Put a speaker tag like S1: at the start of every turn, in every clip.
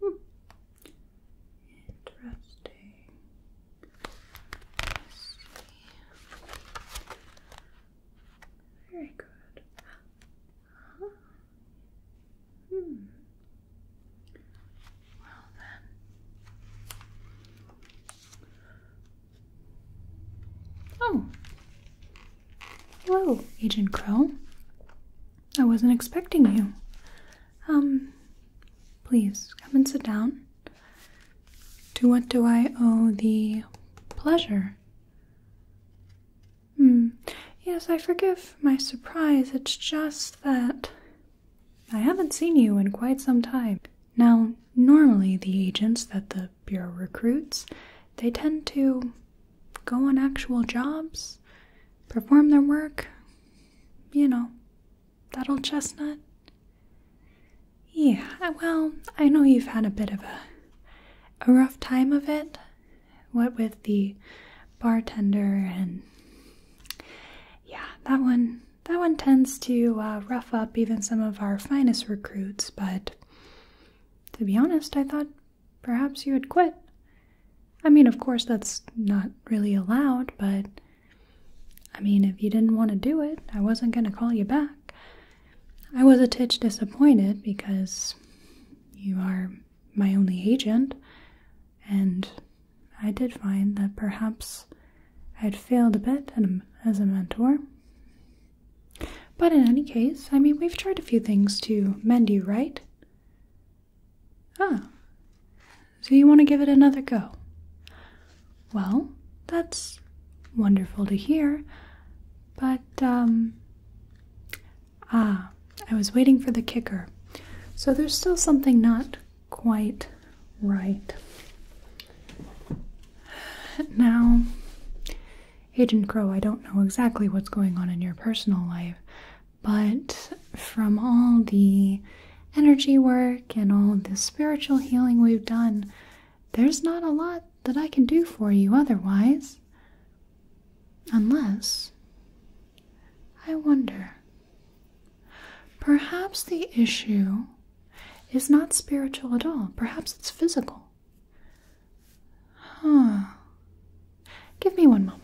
S1: Hmm. Interesting. Let's see. Very good. Hmm. Oh. Hello, Agent Crow. I wasn't expecting you. Um, please come and sit down. To what do I owe the pleasure? Hmm. Yes, I forgive my surprise. It's just that I haven't seen you in quite some time. Now, normally the agents that the Bureau recruits, they tend to go on actual jobs, perform their work. You know, that old chestnut. Yeah, well, I know you've had a bit of a a rough time of it. What with the bartender and yeah, that one that one tends to uh, rough up even some of our finest recruits, but to be honest, I thought perhaps you would quit. I mean, of course, that's not really allowed, but I mean, if you didn't want to do it, I wasn't going to call you back. I was a titch disappointed because you are my only agent, and I did find that perhaps I'd failed a bit as a mentor. But in any case, I mean, we've tried a few things to mend you, right? Ah, so you want to give it another go? Well, that's wonderful to hear, but, um, ah, I was waiting for the kicker. So there's still something not quite right. Now, Agent Crow, I don't know exactly what's going on in your personal life, but from all the energy work and all the spiritual healing we've done, there's not a lot that I can do for you otherwise. Unless, I wonder, Perhaps the issue is not spiritual at all. Perhaps it's physical. Huh. Give me one moment.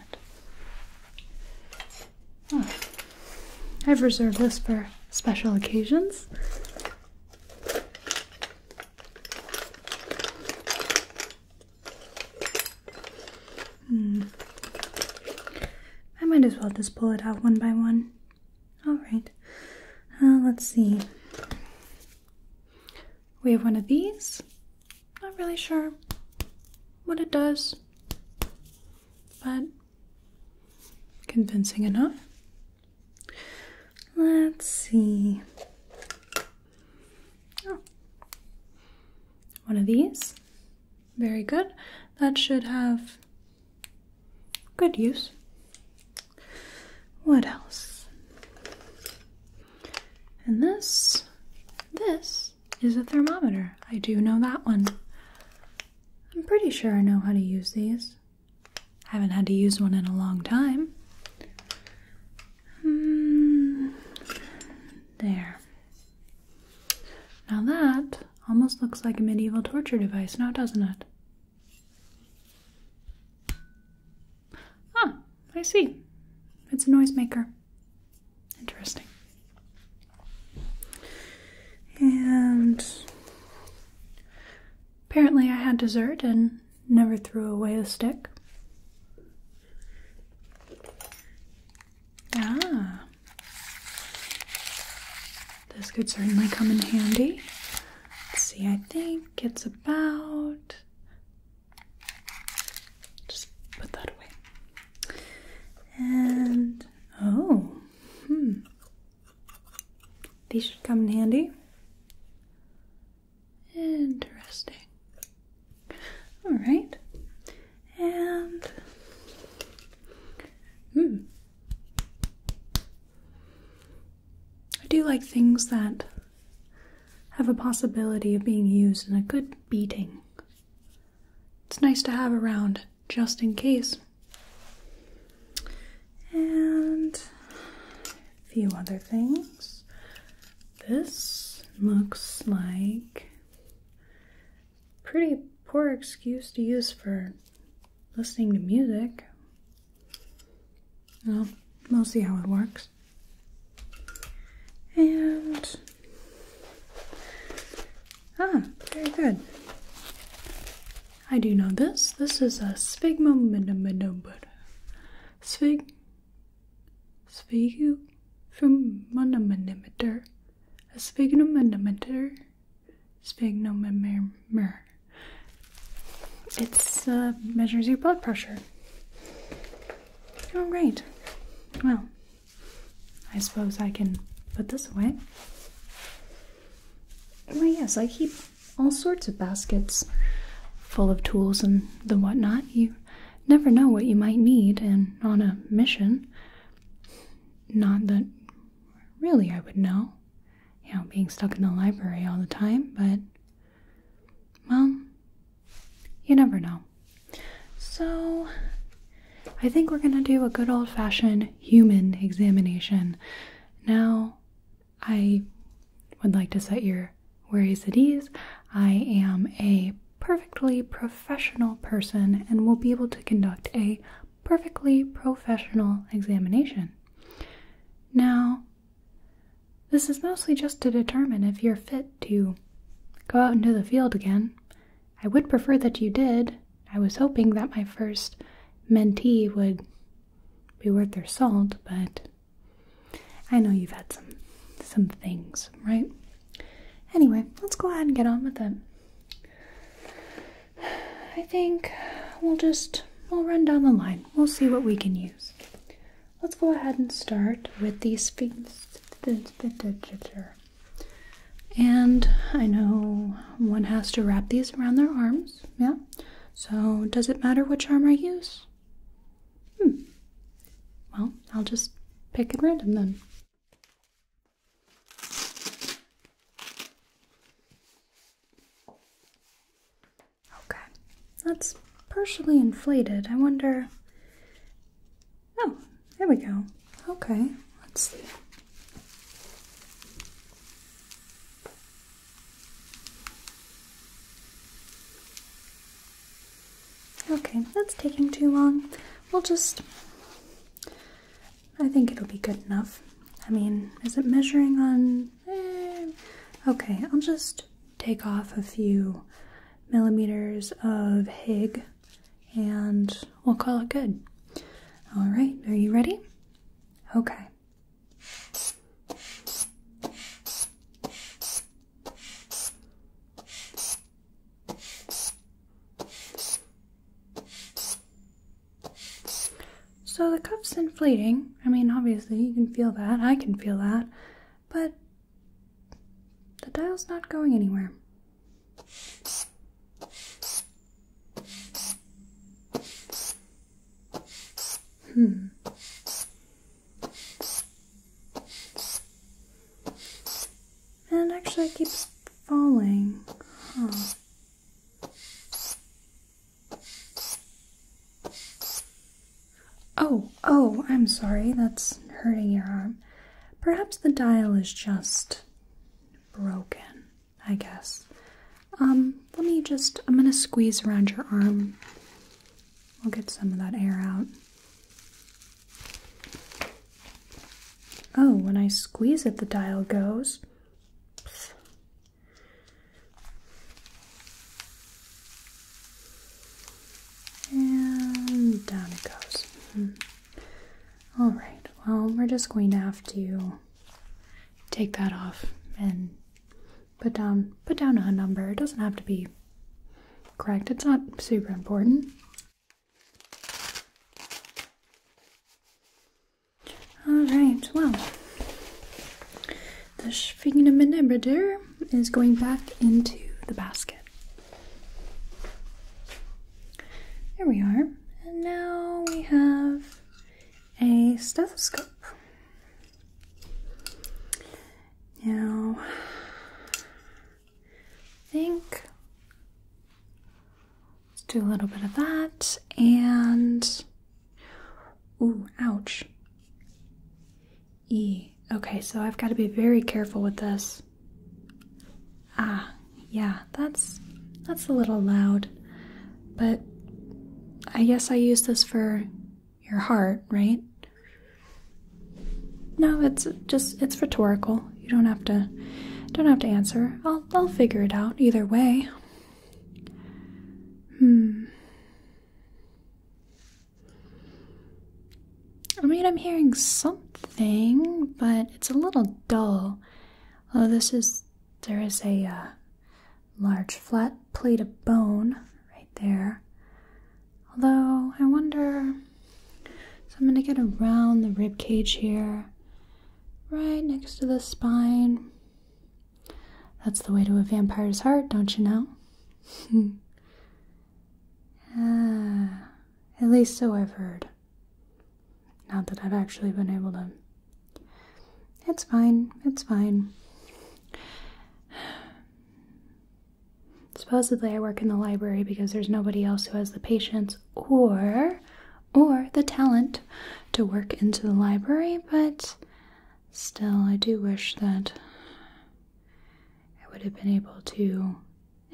S1: I've reserved this for special occasions. Hmm. I might as well just pull it out one by one. Alright, uh, let's see. We have one of these. Not really sure what it does, but convincing enough. Let's see. Oh. One of these. Very good. That should have Good use. What else? And this, this is a thermometer. I do know that one. I'm pretty sure I know how to use these. I haven't had to use one in a long time. Mm, there. Now that almost looks like a medieval torture device now, doesn't it? Ah, I see. It's a noisemaker. Interesting. And apparently, I had dessert and never threw away a stick. Ah, this could certainly come in handy. Let's see, I think it's about. Just put that away. And oh, hmm. These should come in handy. Interesting. All right. And hmm. I do like things that have a possibility of being used in a good beating. It's nice to have around just in case. And a few other things. This looks like pretty poor excuse to use for listening to music. Well, we'll see how it works. And ah, very good. I do know this. This is a sphygmomanomedometer. Sphig sphygmomanometer. A sphygmomanometer Sphygmomanometer. It uh, measures your blood pressure. Oh, all right. Well, I suppose I can put this away. Well, yes, I keep all sorts of baskets full of tools and the whatnot. You never know what you might need, and on a mission, not that Really, I would know. You know, being stuck in the library all the time, but. Well, you never know. So, I think we're gonna do a good old fashioned human examination. Now, I would like to set your worries at ease. I am a perfectly professional person and will be able to conduct a perfectly professional examination. Now, this is mostly just to determine if you're fit to go out into the field again. I would prefer that you did. I was hoping that my first mentee would be worth their salt, but I know you've had some some things, right? Anyway, let's go ahead and get on with it. I think we'll just we'll run down the line. We'll see what we can use. Let's go ahead and start with these sphincter. And I know one has to wrap these around their arms, yeah? So does it matter which arm I use? Hmm. Well, I'll just pick at random then. Okay, that's partially inflated. I wonder. Oh, there we go. Okay, let's see. Okay, that's taking too long. We'll just I think it'll be good enough. I mean, is it measuring on. Eh, okay, I'll just take off a few millimeters of Hig and we'll call it good. All right, are you ready? Okay. So the cup's inflating. I mean, obviously, you can feel that. I can feel that. But the dial's not going anywhere. Hmm. And actually, it keeps falling. Oh, oh, I'm sorry, that's hurting your arm. Perhaps the dial is just broken, I guess. Um, let me just, I'm gonna squeeze around your arm. We'll get some of that air out. Oh, when I squeeze it, the dial goes. And down it goes. Mm-hmm. All right, well, we're just going to have to take that off and put down put down a number. It doesn't have to be correct. It's not super important. Alright, well, the Schwingenminibidder is going back into the basket. There we are. And now we have a stethoscope. Now, think Let's do a little bit of that and ooh, ouch. E. Okay, so I've got to be very careful with this. Ah, yeah, that's that's a little loud. But I guess I use this for your heart, right? No, it's just it's rhetorical. You don't have to don't have to answer. I'll I'll figure it out either way. Hmm. I mean, I'm hearing something, but it's a little dull. Oh, this is, there is a uh, large flat plate of bone right there. Although, I wonder. So I'm going to get around the rib cage here, right next to the spine. That's the way to a vampire's heart, don't you know? ah, at least so I've heard. Not that I've actually been able to. It's fine, it's fine. Supposedly, I work in the library because there's nobody else who has the patience or or the talent to work into the library, but still, I do wish that I would have been able to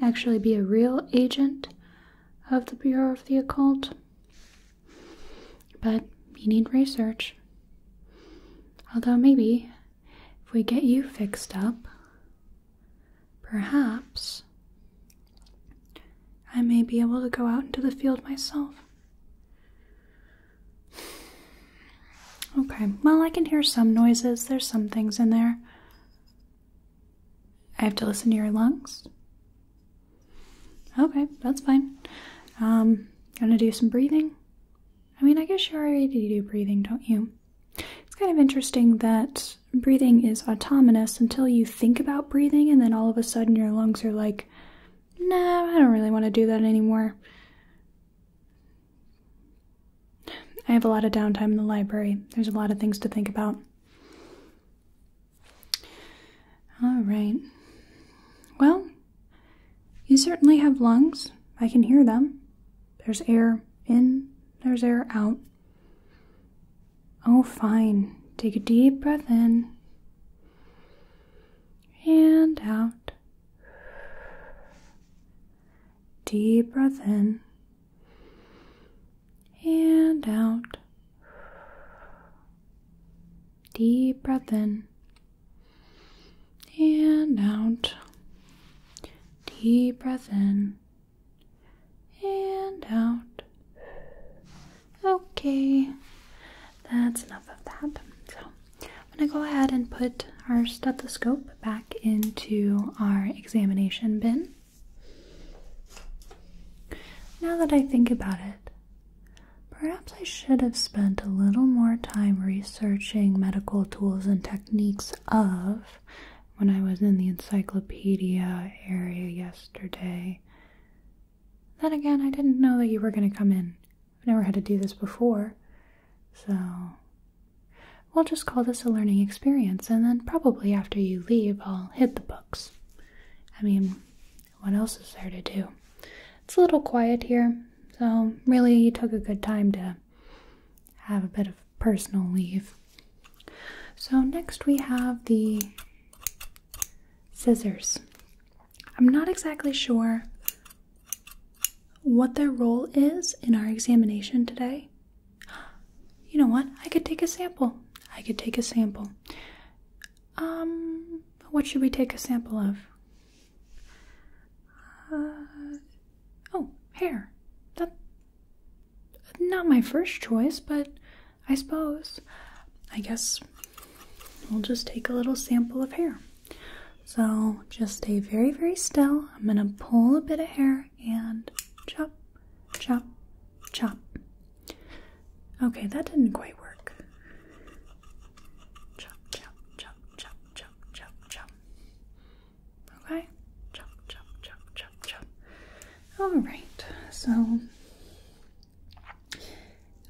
S1: actually be a real agent of the Bureau of the Occult. But we need research. Although, maybe if we get you fixed up, perhaps I may be able to go out into the field myself. Okay, well, I can hear some noises. There's some things in there. I have to listen to your lungs. Okay, that's fine. Um, gonna do some breathing. I mean, I guess you already do breathing, don't you? It's kind of interesting that breathing is autonomous until you think about breathing, and then all of a sudden your lungs are like, no, I don't really want to do that anymore. I have a lot of downtime in the library. There's a lot of things to think about. All right. Well, you certainly have lungs. I can hear them. There's air in, there's air out. Oh, fine. Take a deep breath in and out. Deep breath in and out. Deep breath in and out. Deep breath in and out. Okay, that's enough of that. So, I'm going to go ahead and put our stethoscope back into our examination bin. Now that I think about it, perhaps I should have spent a little more time researching medical tools and techniques of when I was in the encyclopedia area yesterday. Then again, I didn't know that you were going to come in. I've never had to do this before. So, we'll just call this a learning experience, and then probably after you leave, I'll hit the books. I mean, what else is there to do? It's a little quiet here, so really you took a good time to have a bit of personal leave. So, next we have the Scissors. I'm not exactly sure what their role is in our examination today. You know what? I could take a sample. I could take a sample. Um, what should we take a sample of? Uh, oh, hair. That not my first choice, but I suppose. I guess We'll just take a little sample of hair. So just stay very, very still. I'm going to pull a bit of hair and chop, chop, chop. Okay, that didn't quite work. Chop, chop, chop, chop, chop, chop, chop. Okay? Chop, chop, chop, chop, chop. All right, so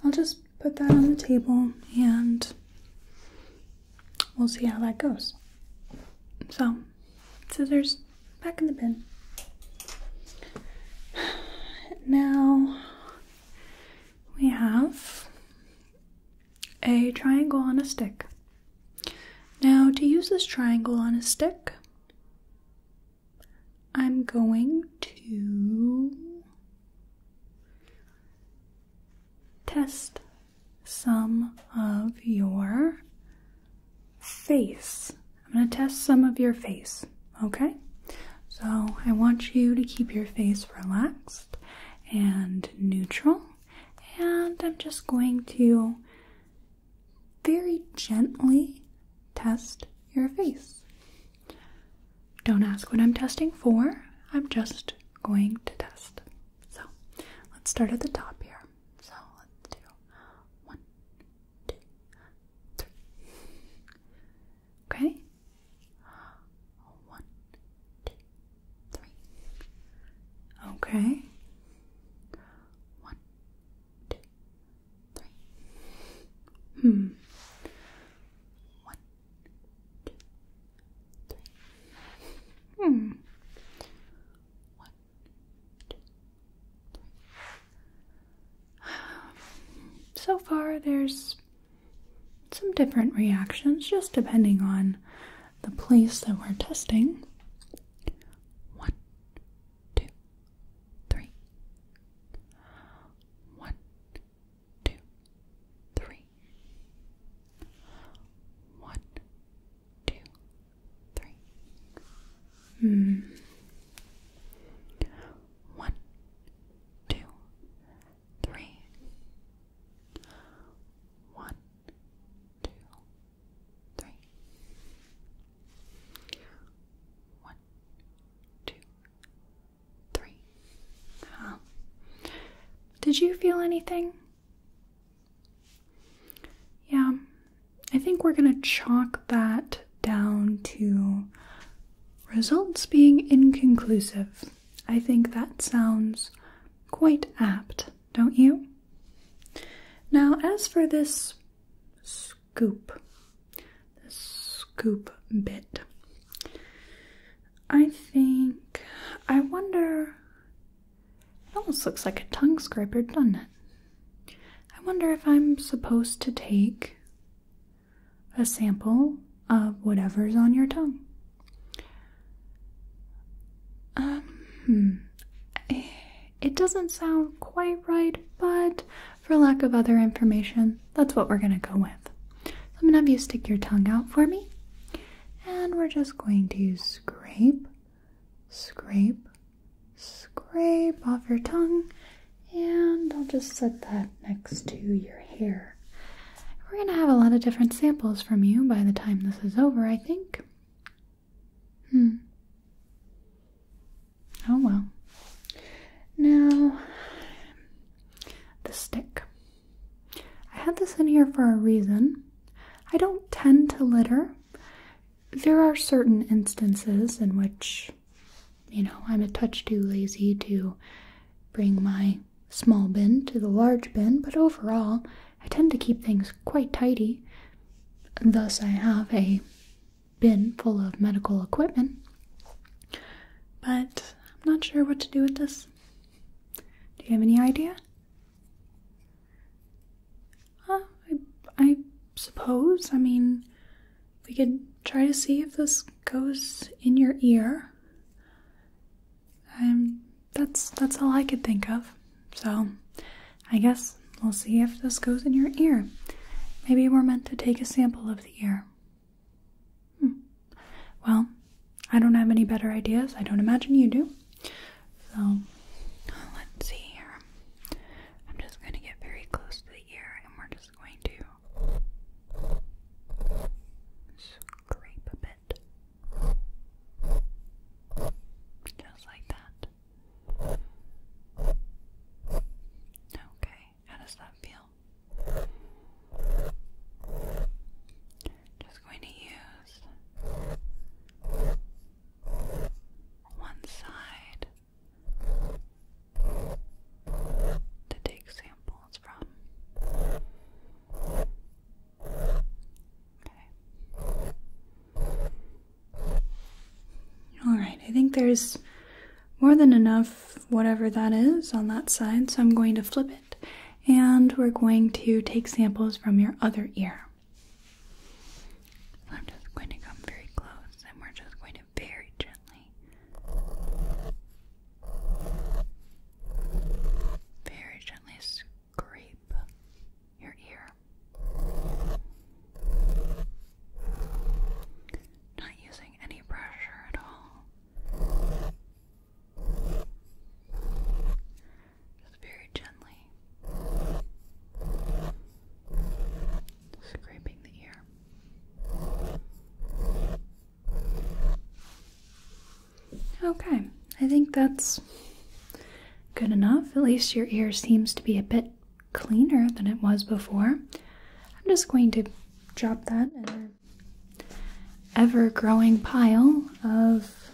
S1: I'll just put that on the table and we'll see how that goes. So, scissors back in the bin. Now we have a triangle on a stick. Now, to use this triangle on a stick, I'm going to test some of your face. I'm going to test some of your face, okay? So I want you to keep your face relaxed and neutral, and I'm just going to very gently test your face. Don't ask what I'm testing for, I'm just going to test. So let's start at the top here. So let's do one, two, three. Okay? One, two, three. Okay. One, two, three. Hmm. One, two, three. Hmm. One, two, three. So far, there's some different reactions, just depending on the place that we're testing. One, two, three. One, two, Hmm. One, two, three. One, two, three. One, two, three. Did you feel anything? Yeah, I think we're going to chalk that down to results being inconclusive. I think that sounds quite apt, don't you? Now, as for this scoop, the scoop bit. I think. I wonder. It almost looks like a tongue scraper, doesn't it? I wonder if I'm supposed to take a sample of whatever's on your tongue. Um, hmm. it doesn't sound quite right, but for lack of other information, that's what we're going to go with. So I'm going to have you stick your tongue out for me, and we're just going to scrape, scrape, scrape off your tongue, and I'll just set that next to your hair. We're going to have a lot of different samples from you by the time this is over, I think. Hmm. Oh well. Now, the stick. I had this in here for a reason. I don't tend to litter. There are certain instances in which, you know, I'm a touch too lazy to bring my small bin to the large bin, but overall, I tend to keep things quite tidy. Thus, I have a bin full of medical equipment but I'm not sure what to do with this. Do you have any idea? Uh, I, suppose. I mean, we could try to see if this goes in your ear. Um, that's that's all I could think of. So, I guess we'll see if this goes in your ear. Maybe we're meant to take a sample of the ear. Hmm. Well, I don't have any better ideas. I don't imagine you do. So let's see here. I'm just going to get very close to the ear and we're just going to scrape a bit. Just like that. Okay. How does that feel? Just going to use one side to take samples from. Okay. All right, I think there's more than enough, whatever that is, on that side. So I'm going to flip it and we're going to take samples from your other ear. I'm just going to come very close and we're just going to very gently, very gently scrape your ear. Not using any pressure at all very gently scraping the ear. Okay, I think that's good enough. At least your ear seems to be a bit cleaner than it was before. I'm just going to drop that in ever growing pile of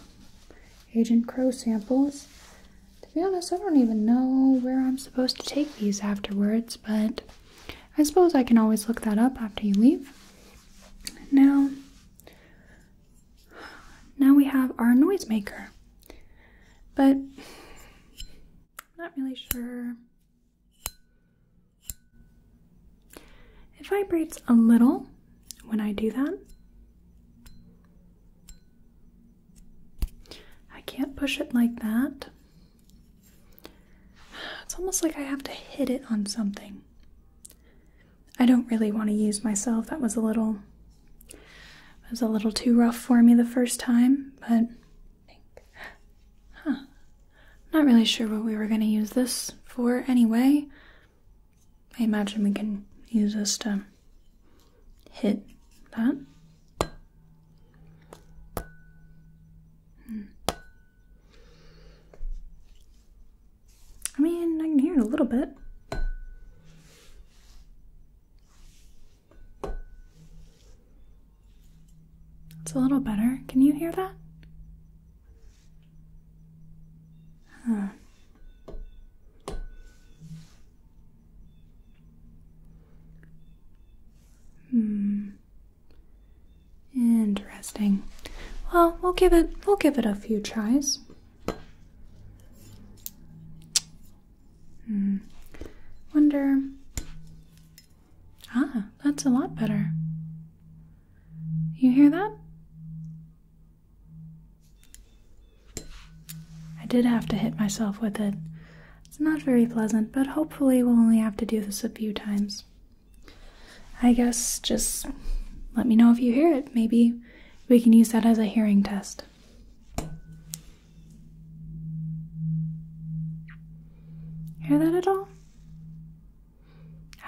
S1: Agent Crow samples. To be honest, I don't even know where I'm supposed to take these afterwards, but I suppose I can always look that up after you leave. Now, now we have our noisemaker, but I'm not really sure it vibrates a little when I do that. I can't push it like that. It's almost like I have to hit it on something. I don't really want to use myself. That was a little it was a little too rough for me the first time, but think. Huh. Not really sure what we were going to use this for anyway. I imagine we can use this to hit that. Hmm. I mean, I can hear it a little bit. It's a little better. Can you hear that? Hmm. Interesting. Well, we'll give it we'll give it a few tries. Hmm. Wonder Ah, that's a lot better. You hear that? I did have to hit myself with it. It's not very pleasant, but hopefully, we'll only have to do this a few times. I guess just let me know if you hear it. Maybe we can use that as a hearing test. Hear that at all?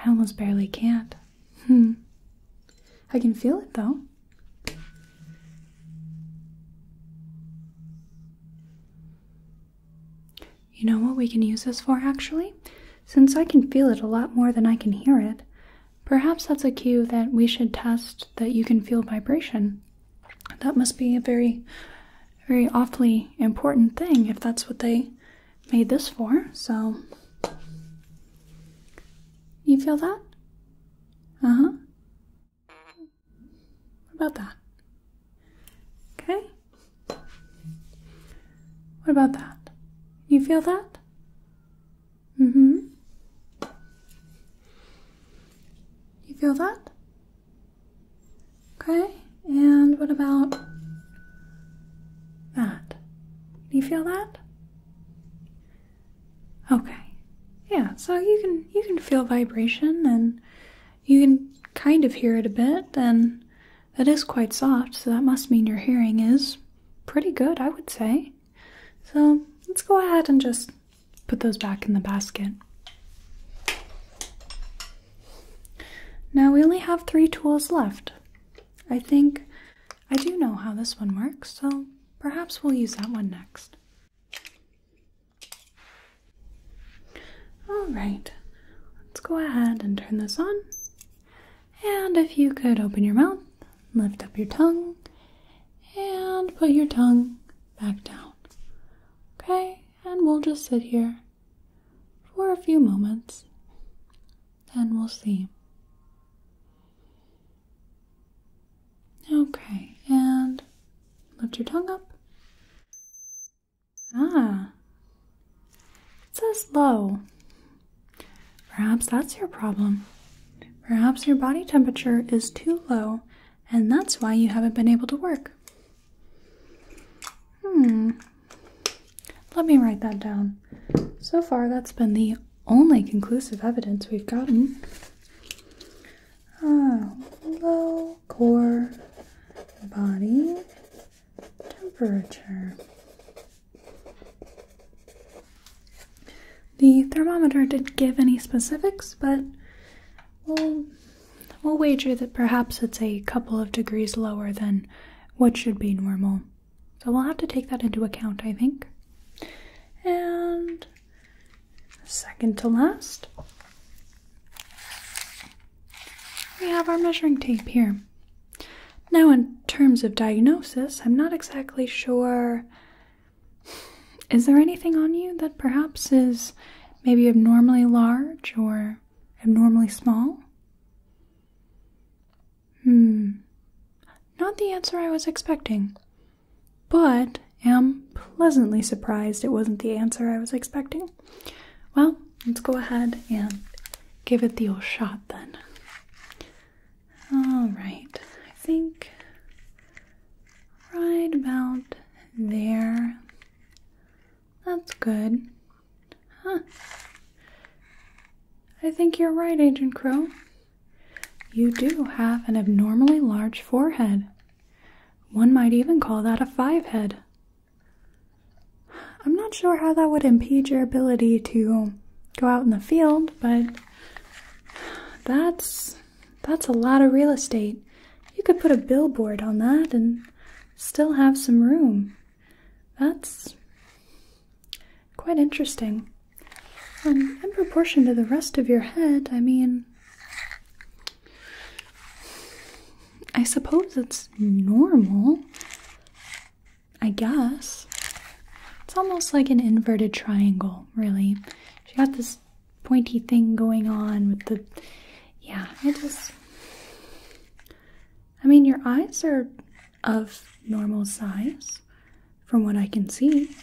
S1: I almost barely can't. Hmm. I can feel it though. You know what we can use this for actually? Since I can feel it a lot more than I can hear it, perhaps that's a cue that we should test that you can feel vibration. That must be a very, very awfully important thing if that's what they made this for, so you feel that? Uh-huh. What about that? Okay. What about that? You feel that? Mm-hmm. You feel that? Okay, and what about that? Do you feel that? Okay. Yeah, so you can you can feel vibration and you can kind of hear it a bit and that is quite soft, so that must mean your hearing is pretty good, I would say. So, let's go ahead and just put those back in the basket. Now we only have three tools left. I think I do know how this one works, so perhaps we'll use that one next. Alright, let's go ahead and turn this on. And if you could open your mouth, lift up your tongue, and put your tongue back down. Okay, and we'll just sit here for a few moments then we'll see. Okay, and lift your tongue up. Ah, it's says low. Perhaps that's your problem. Perhaps your body temperature is too low, and that's why you haven't been able to work. Hmm. Let me write that down. So far, that's been the only conclusive evidence we've gotten. Ah, low core body temperature. The thermometer didn't give any specifics, but we'll wager that perhaps it's a couple of degrees lower than what should be normal. So we'll have to take that into account, I think. And second to last, we have our measuring tape here. Now, in terms of diagnosis, I'm not exactly sure. Is there anything on you that perhaps is maybe abnormally large or abnormally small? Hmm. Not the answer I was expecting, but am pleasantly surprised it wasn't the answer I was expecting. Well, let's go ahead and give it the old shot then. All right, I think right about there. That's good. Huh. I think you're right, Agent Crow. You do have an abnormally large forehead. One might even call that a five head. I'm not sure how that would impede your ability to go out in the field, but that's that's a lot of real estate. You could put a billboard on that and still have some room. That's quite interesting. And um, in proportion to the rest of your head, I mean, I suppose it's normal. I guess. It's almost like an inverted triangle, really. She got this pointy thing going on with the. Yeah, I just. I mean, your eyes are of normal size, from what I can see.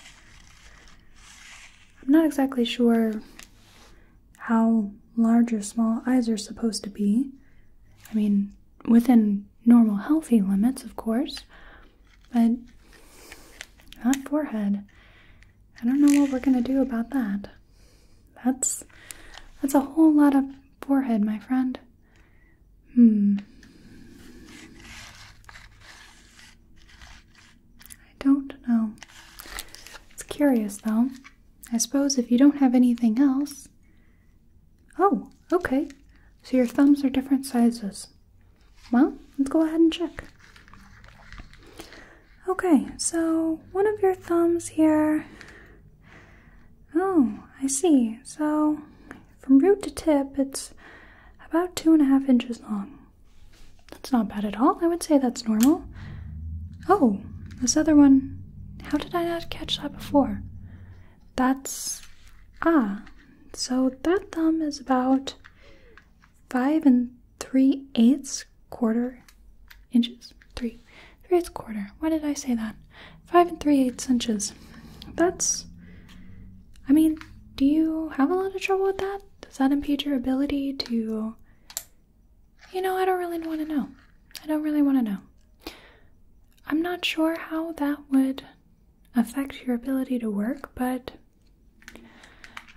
S1: I'm not exactly sure how large or small eyes are supposed to be. I mean, within normal healthy limits, of course, but that forehead. I don't know what we're going to do about that. That's that's a whole lot of forehead, my friend. Hmm. I don't know. It's curious, though. I suppose if you don't have anything else. Oh, okay. So your thumbs are different sizes. Well, let's go ahead and check. Okay, so one of your thumbs here Oh, I see. So, from root to tip, it's about two and a half inches long. That's not bad at all. I would say that's normal. Oh, this other one. How did I not catch that before? That's. Ah, so that thumb is about five and three eighths quarter inches? Three. Three eighths quarter. Why did I say that? Five and three eighths inches. That's. I mean, do you have a lot of trouble with that? Does that impede your ability to. You know, I don't really want to know. I don't really want to know. I'm not sure how that would affect your ability to work, but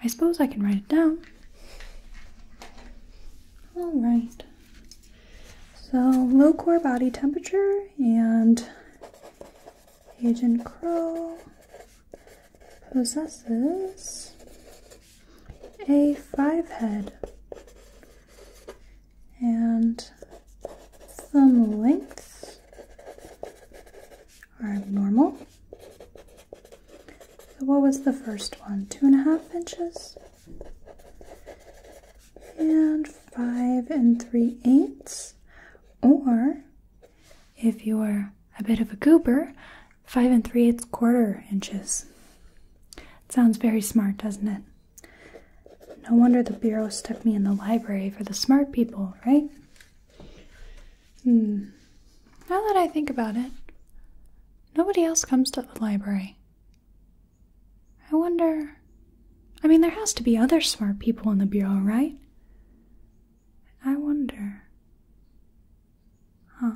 S1: I suppose I can write it down. All right. So low core body temperature and Agent Crow possesses a five head and some lengths are normal. So what was the first one? Two and a half inches? and five and three eighths, or if you are a bit of a goober, five and three eighths quarter inches. It sounds very smart, doesn't it? No wonder the Bureau stuck me in the library for the smart people, right? Hmm. Now that I think about it, nobody else comes to the library. I wonder. I mean, there has to be other smart people in the Bureau, right? I wonder. Huh.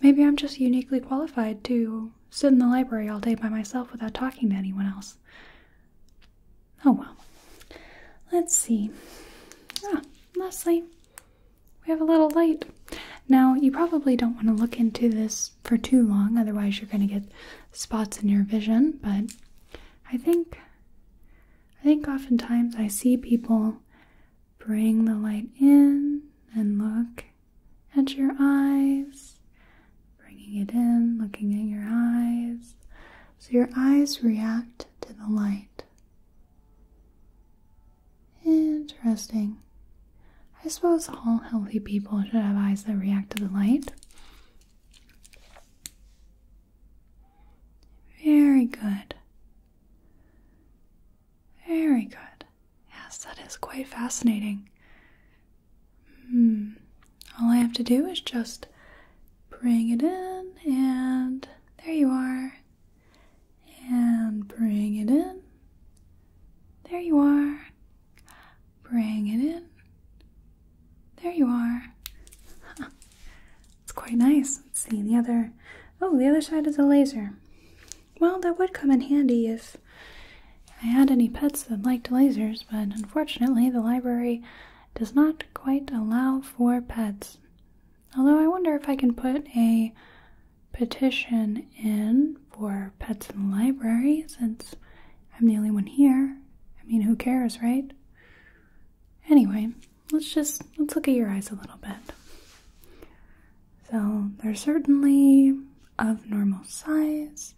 S1: Maybe I'm just uniquely qualified to sit in the library all day by myself without talking to anyone else. Oh well. Let's see. Ah, Leslie, we have a little light. Now, you probably don't want to look into this for too long, otherwise, you're going to get spots in your vision. But I think, I think oftentimes I see people bring the light in and look at your eyes, bringing it in, looking at your eyes. So your eyes react to the light. Interesting. I suppose all healthy people should have eyes that react to the light. Very good. Very good. Yes, that is quite fascinating. Hmm. All I have to do is just bring it in, and there you are. And bring it in. There you are. Bring it in. There you are. it's quite nice. Let's see the other. Oh, the other side is a laser. Well, that would come in handy if I had any pets that liked lasers, but unfortunately, the library does not quite allow for pets. Although I wonder if I can put a petition one in for pets in the library since I'm the only one here. I mean, who cares, right? Anyway, let's just let's look at your eyes a little bit. So, they're certainly of normal size,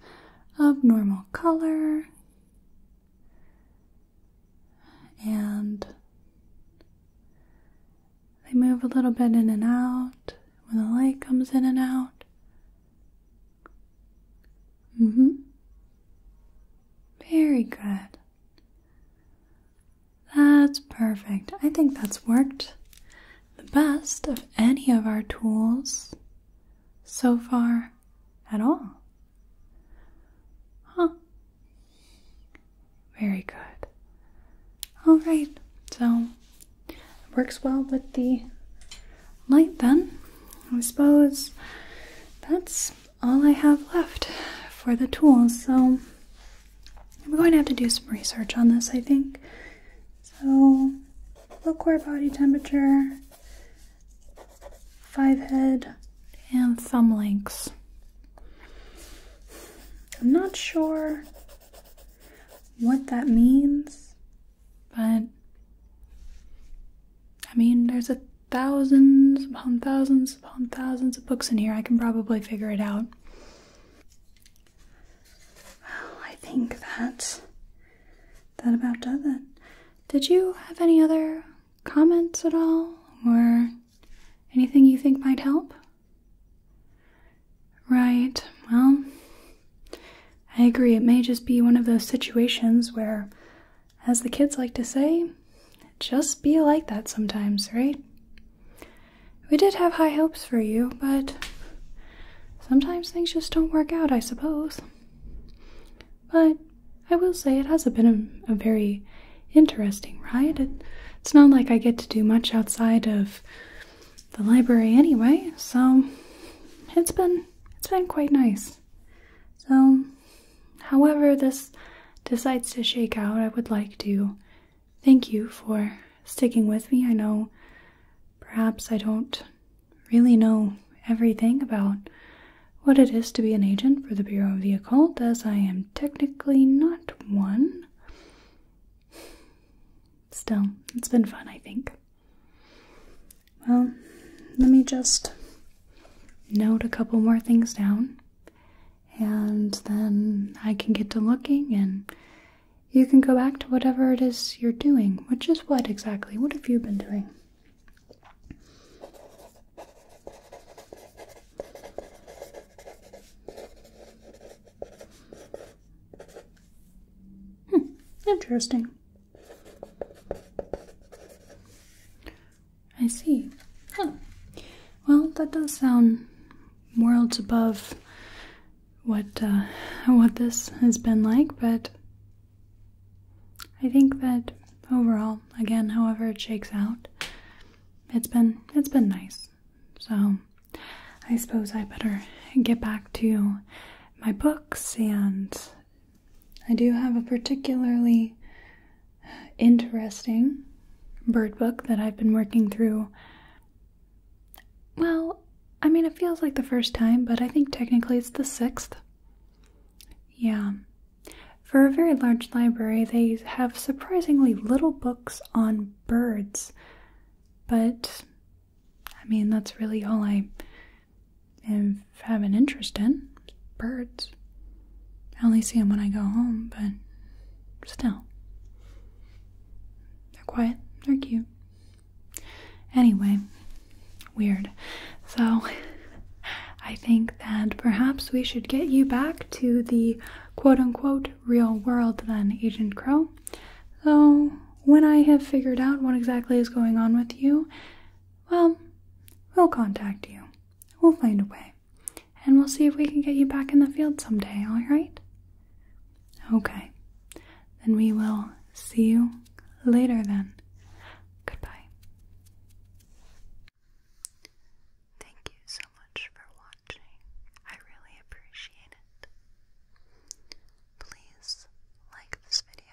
S1: of normal color, and they move a little bit in and out when the light comes in and out. Mm hmm. Very good. That's perfect. I think that's worked the best of any of our tools so far at all. Huh. Very good. All right. So works well with the light then. I suppose that's all I have left for the tools, so I'm going to have to do some research on this, I think. So, low core body temperature, five head, and thumb lengths. I'm not sure what that means. But I mean, there's a thousands upon thousands upon thousands of books in here. I can probably figure it out. Well, I think that that about does it. Did you have any other comments at all, or anything you think might help? Right. Well, I agree, it may just be one of those situations where, as the kids like to say, just be like that sometimes, right? We did have high hopes for you, but sometimes things just don't work out, I suppose. But I will say it has been a, very interesting ride. it's not like I get to do much outside of the library anyway, so it's been it's been quite nice. So, however, this decides to shake out, I would like to thank you for sticking with me. I know perhaps I don't really know everything about what it is to be an agent for the Bureau of the Occult, as I am technically not one. Still, it's been fun, I think. Well, let me just note a couple more things down, and then I can get to looking, and you can go back to whatever it is you're doing, which is what exactly? What have you been doing? Hmm, interesting. I see. Huh. Well, that does sound worlds above what uh, what this has been like, but I think that overall, again, however it shakes out, it's been it's been nice. So I suppose I better get back to my books, and I do have a particularly interesting bird book that I've been working through. Well, I mean, it feels like the first time, but I think technically it's the sixth. Yeah. For a very large library, they have surprisingly little books on birds, but I mean, that's really all I and have an interest in birds. I only see them when I go home, but still. They're quiet, they're cute. Anyway, weird. So, I think that perhaps we should get you back to the quote unquote real world, then, Agent Crow. Though when I have figured out what exactly is going on with you, well, we'll contact you. We'll find a way. And we'll see if we can get you back in the field someday, alright? Okay. Then we will see you later then. Goodbye. Thank you so much for watching. I really appreciate it. Please like this video